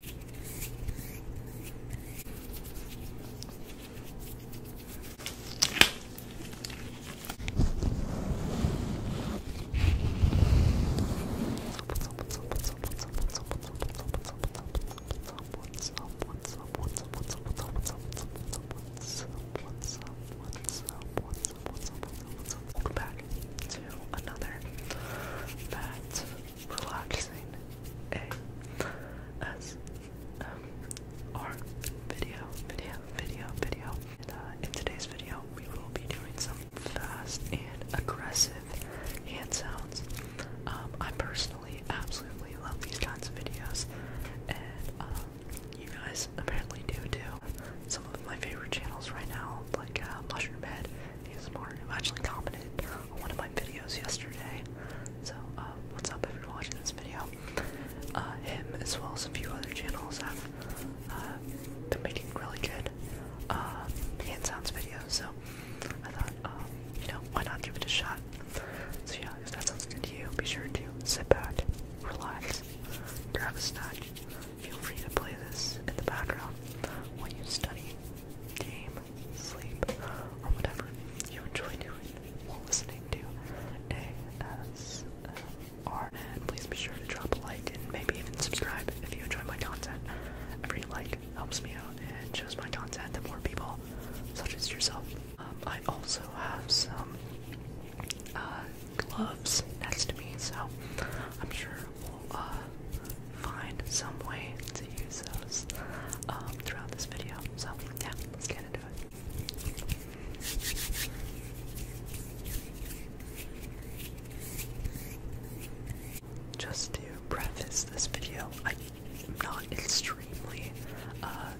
Welcome back to another that relaxing ASMR video, video, video, video. Uh, in today's video, we will be doing some fast and aggressive hand sounds. Um, I personally absolutely love these kinds of videos, and um, you guys apparently do too. Some of my favorite channels right now, like uh, Mushroom Head, ASMR, have actually commented one of my videos yesterday. So, uh, what's up if you're watching this video? Uh, him, as well as a few other channels, have uh, been making really good uh, hand sounds videos. So, I thought, um, you know, why not give it a shot? So, yeah, if that sounds good to you, be sure to sit back, relax, grab a snack. Feel free to play this in the background when you study, game, sleep, or whatever you enjoy doing while listening to ASMR. And please be sure to drop a like and maybe even subscribe if you enjoy my content. Every like helps me out and shows my content to more people, such as yourself. Um, I also have some uh, gloves next to me, so I'm sure we'll uh, find some way to use those um, throughout this video. So yeah, let's get into it. Just to preface this video, I'm not extremely uh,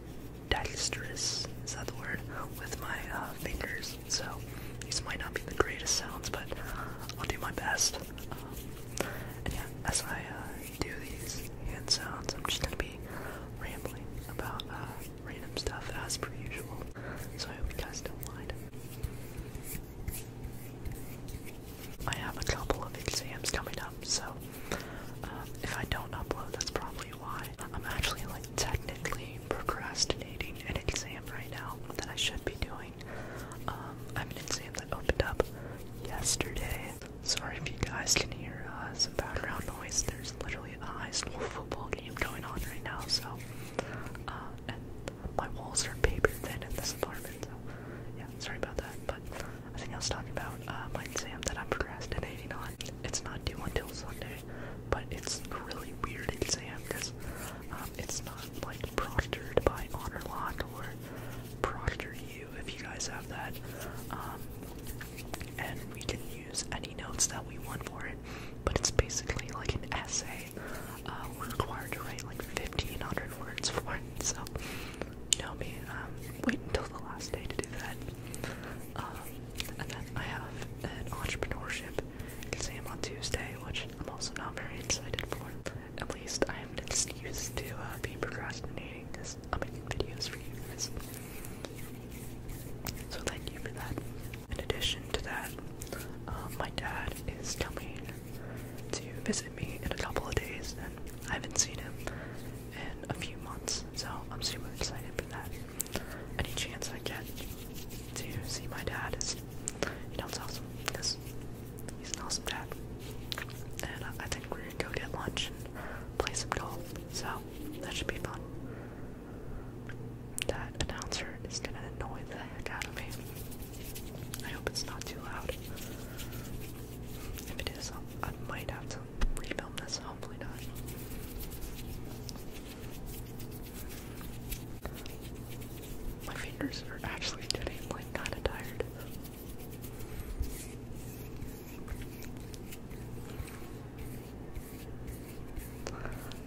dexterous, is that the word, with my uh, fingers, so these might not be the greatest sounds, but I'll do my best yeah, as I uh, do these hand sounds, I'm just gonna be rambling about uh, random stuff as per usual. So I hope you guys don't mind. I have a couple of exams coming up, so um, if I don't upload, that's probably why. I'm actually like technically procrastinating an exam right now that I should be doing. I'm an exam that opened up yesterday. Sorry if you guys can hear uh, some background noise. There's literally a high school football game going on right now, so uh, and my walls are paper thin in this apartment. So yeah, sorry about that. But I think I was talking about uh, my exam that I'm procrastinating on. It's not due until Sunday, but it's really weird exam because um, it's not like proctored by honor lock or Proctor you if you guys have that. Um, and we can use any notes that we want for it, but it's basically like an essay. Uh, we're required to write like 1500 words for it, so don't be um, wait until the last day to do that. Um, and then I have an entrepreneurship exam on Tuesday, which I'm also not very excited for at least I have an excuse to uh, be procrastinating this I'm making videos for you guys. So thank you for that. In addition to that, um, my dad is coming to visit me in a couple of days, and I haven't seen him in a few months, so I'm super excited for that. Any chance I get to see my dad is, you know, it's awesome he's an awesome dad. And I think we're gonna go get lunch and play some golf. So that should be fun. That announcer is gonna annoy the heck out of me. I hope it's not too loud. If it is, I might have to refilm this. Hopefully not. My fingers are actually getting like kind of tired.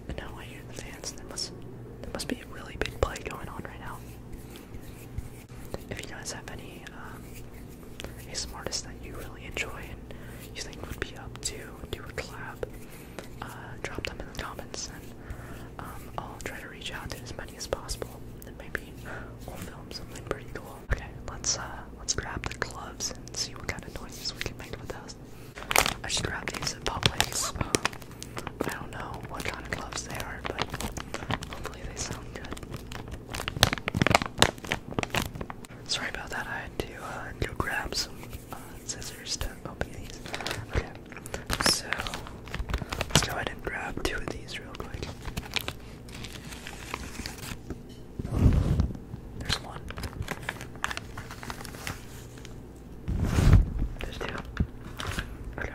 And now I hear the fans. There must there must be a really big play going on right now. If you guys have any um, smartest that you really enjoy and you think would be up to do a collab, uh, drop them in the comments and um, I'll try to reach out to as many as possible. And maybe We'll film something pretty cool. Okay, let's uh, let's grab the gloves and see what kind of noises we can make with those. I should grab these at Publix. I don't know what kind of gloves they are, but hopefully they sound good. Sorry about that. I had to uh, go grab some uh, scissors to open these. Okay, so let's go ahead and grab two of these real quick. There's one. There's two. Okay.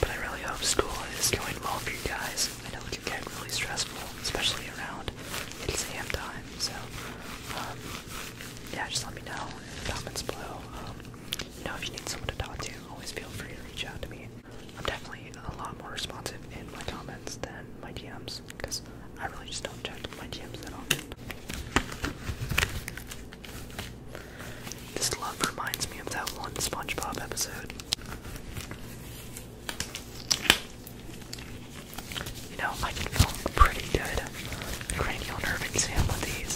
But I really hope school is going well for you guys. I know it can get really stressful, especially around exam time. So, um, yeah, just let me know in the comments below. Um, know, if you need someone to talk to, always feel free to reach out to me. I'm definitely a lot more responsive in my comments than my DMs, because I really just don't check my DMs at all. This love reminds me of that one SpongeBob episode. You know, I can feel pretty good cranial nerve exam with these.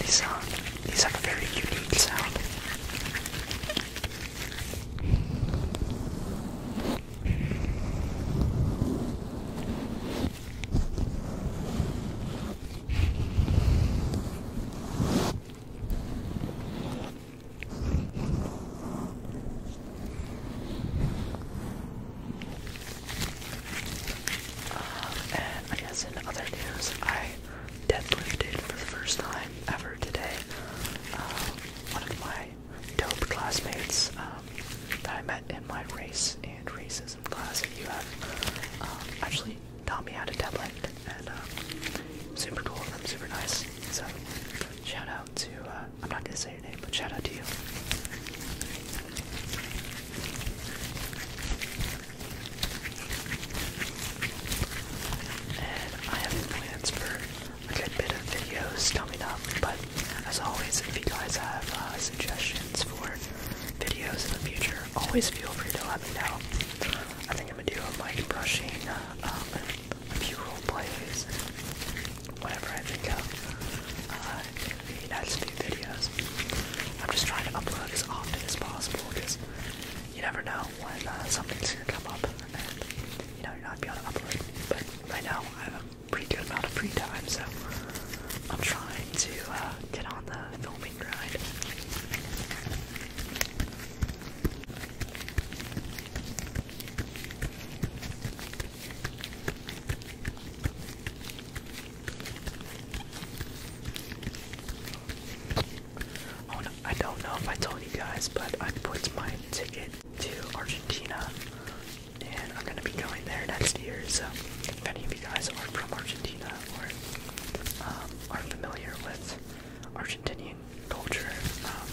These, are. Um, these have a very unique sound. Um, and I guess in other news, I deadlifted for the first time ever today. Um, one of my dope classmates um, that I met in my race and racism class at UF um, actually taught me how to deadlift, and super cool and super nice. So shout out. Uh, I'm not going to say your name, but shout out to you. And I have plans for a good bit of videos coming up, but as always, if you guys have uh, suggestions for videos in the future, always feel free to let me know. I think I'm going to do a mic brushing, uh, um, a few role plays whatever I think of uh, in the few videos. I'm just trying to upload as often as possible because you never know when uh, something's gonna come up you know you're not gonna upload. But right now I have a pretty good amount of free time, so I'm trying to uh, get on the filming grind. Oh, I don't know if I told you guys, but I put my ticket to Argentina and I'm gonna be going there next year. So if any of you guys are from Argentina or um, are familiar with Argentinian culture. Um,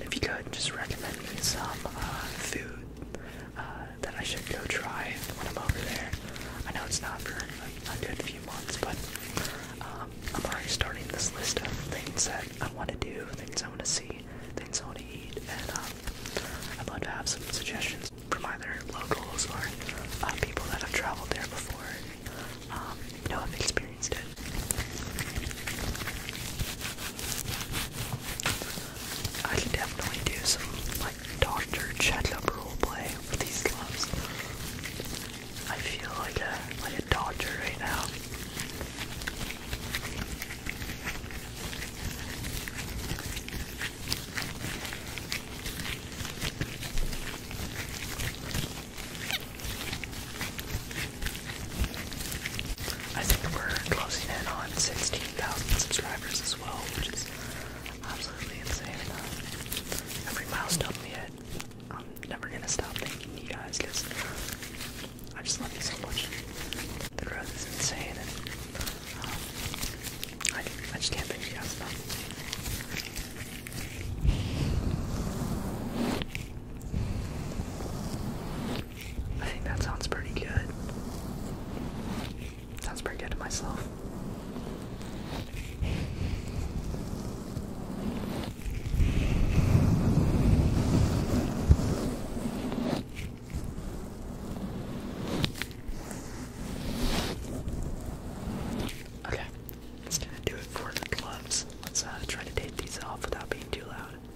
if you could, just recommend me some uh, food uh, that I should go try when I'm over there. I know it's not for a, a good few months, but um, I'm already starting this list of things that I want to do, things I want to see, things I want to eat, and um, I'd love to have some suggestions from either locals or uh, people that have traveled there before. Um, you know, have experienced I could definitely do some like Dr. Chedlup roleplay with these gloves. I feel like a like a doctor right now. I think we're closing in on 16,000 subscribers as well, which is absolutely insane. Uh, every milestone we I'm never gonna stop thanking you guys because I just love you so much. The growth is insane, and um, I, I just can't thank you guys enough. I think that sounds pretty good. Sounds pretty good to myself. Okay, that's going do it for the gloves. Let's uh, try to take these off without being too loud. Um,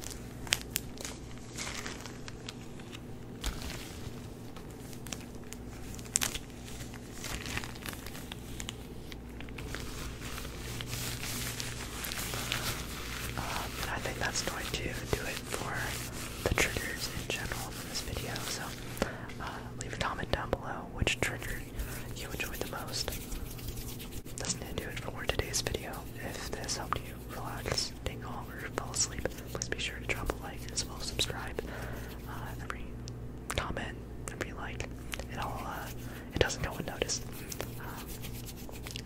I think that's going to do it for the triggers in general for this video. So uh, leave a comment down below which trigger you enjoyed the most. That's going to do it for today's video. If this helped you relax, tingle, or fall asleep, please be sure to drop a like as well as subscribe. Uh, every comment, every like, it all uh, it doesn't go unnoticed. Um,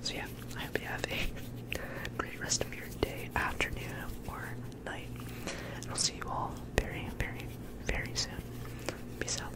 so yeah, I hope you have a great rest of your day, afternoon, or night. And I'll see you all very, very, very soon. Peace out.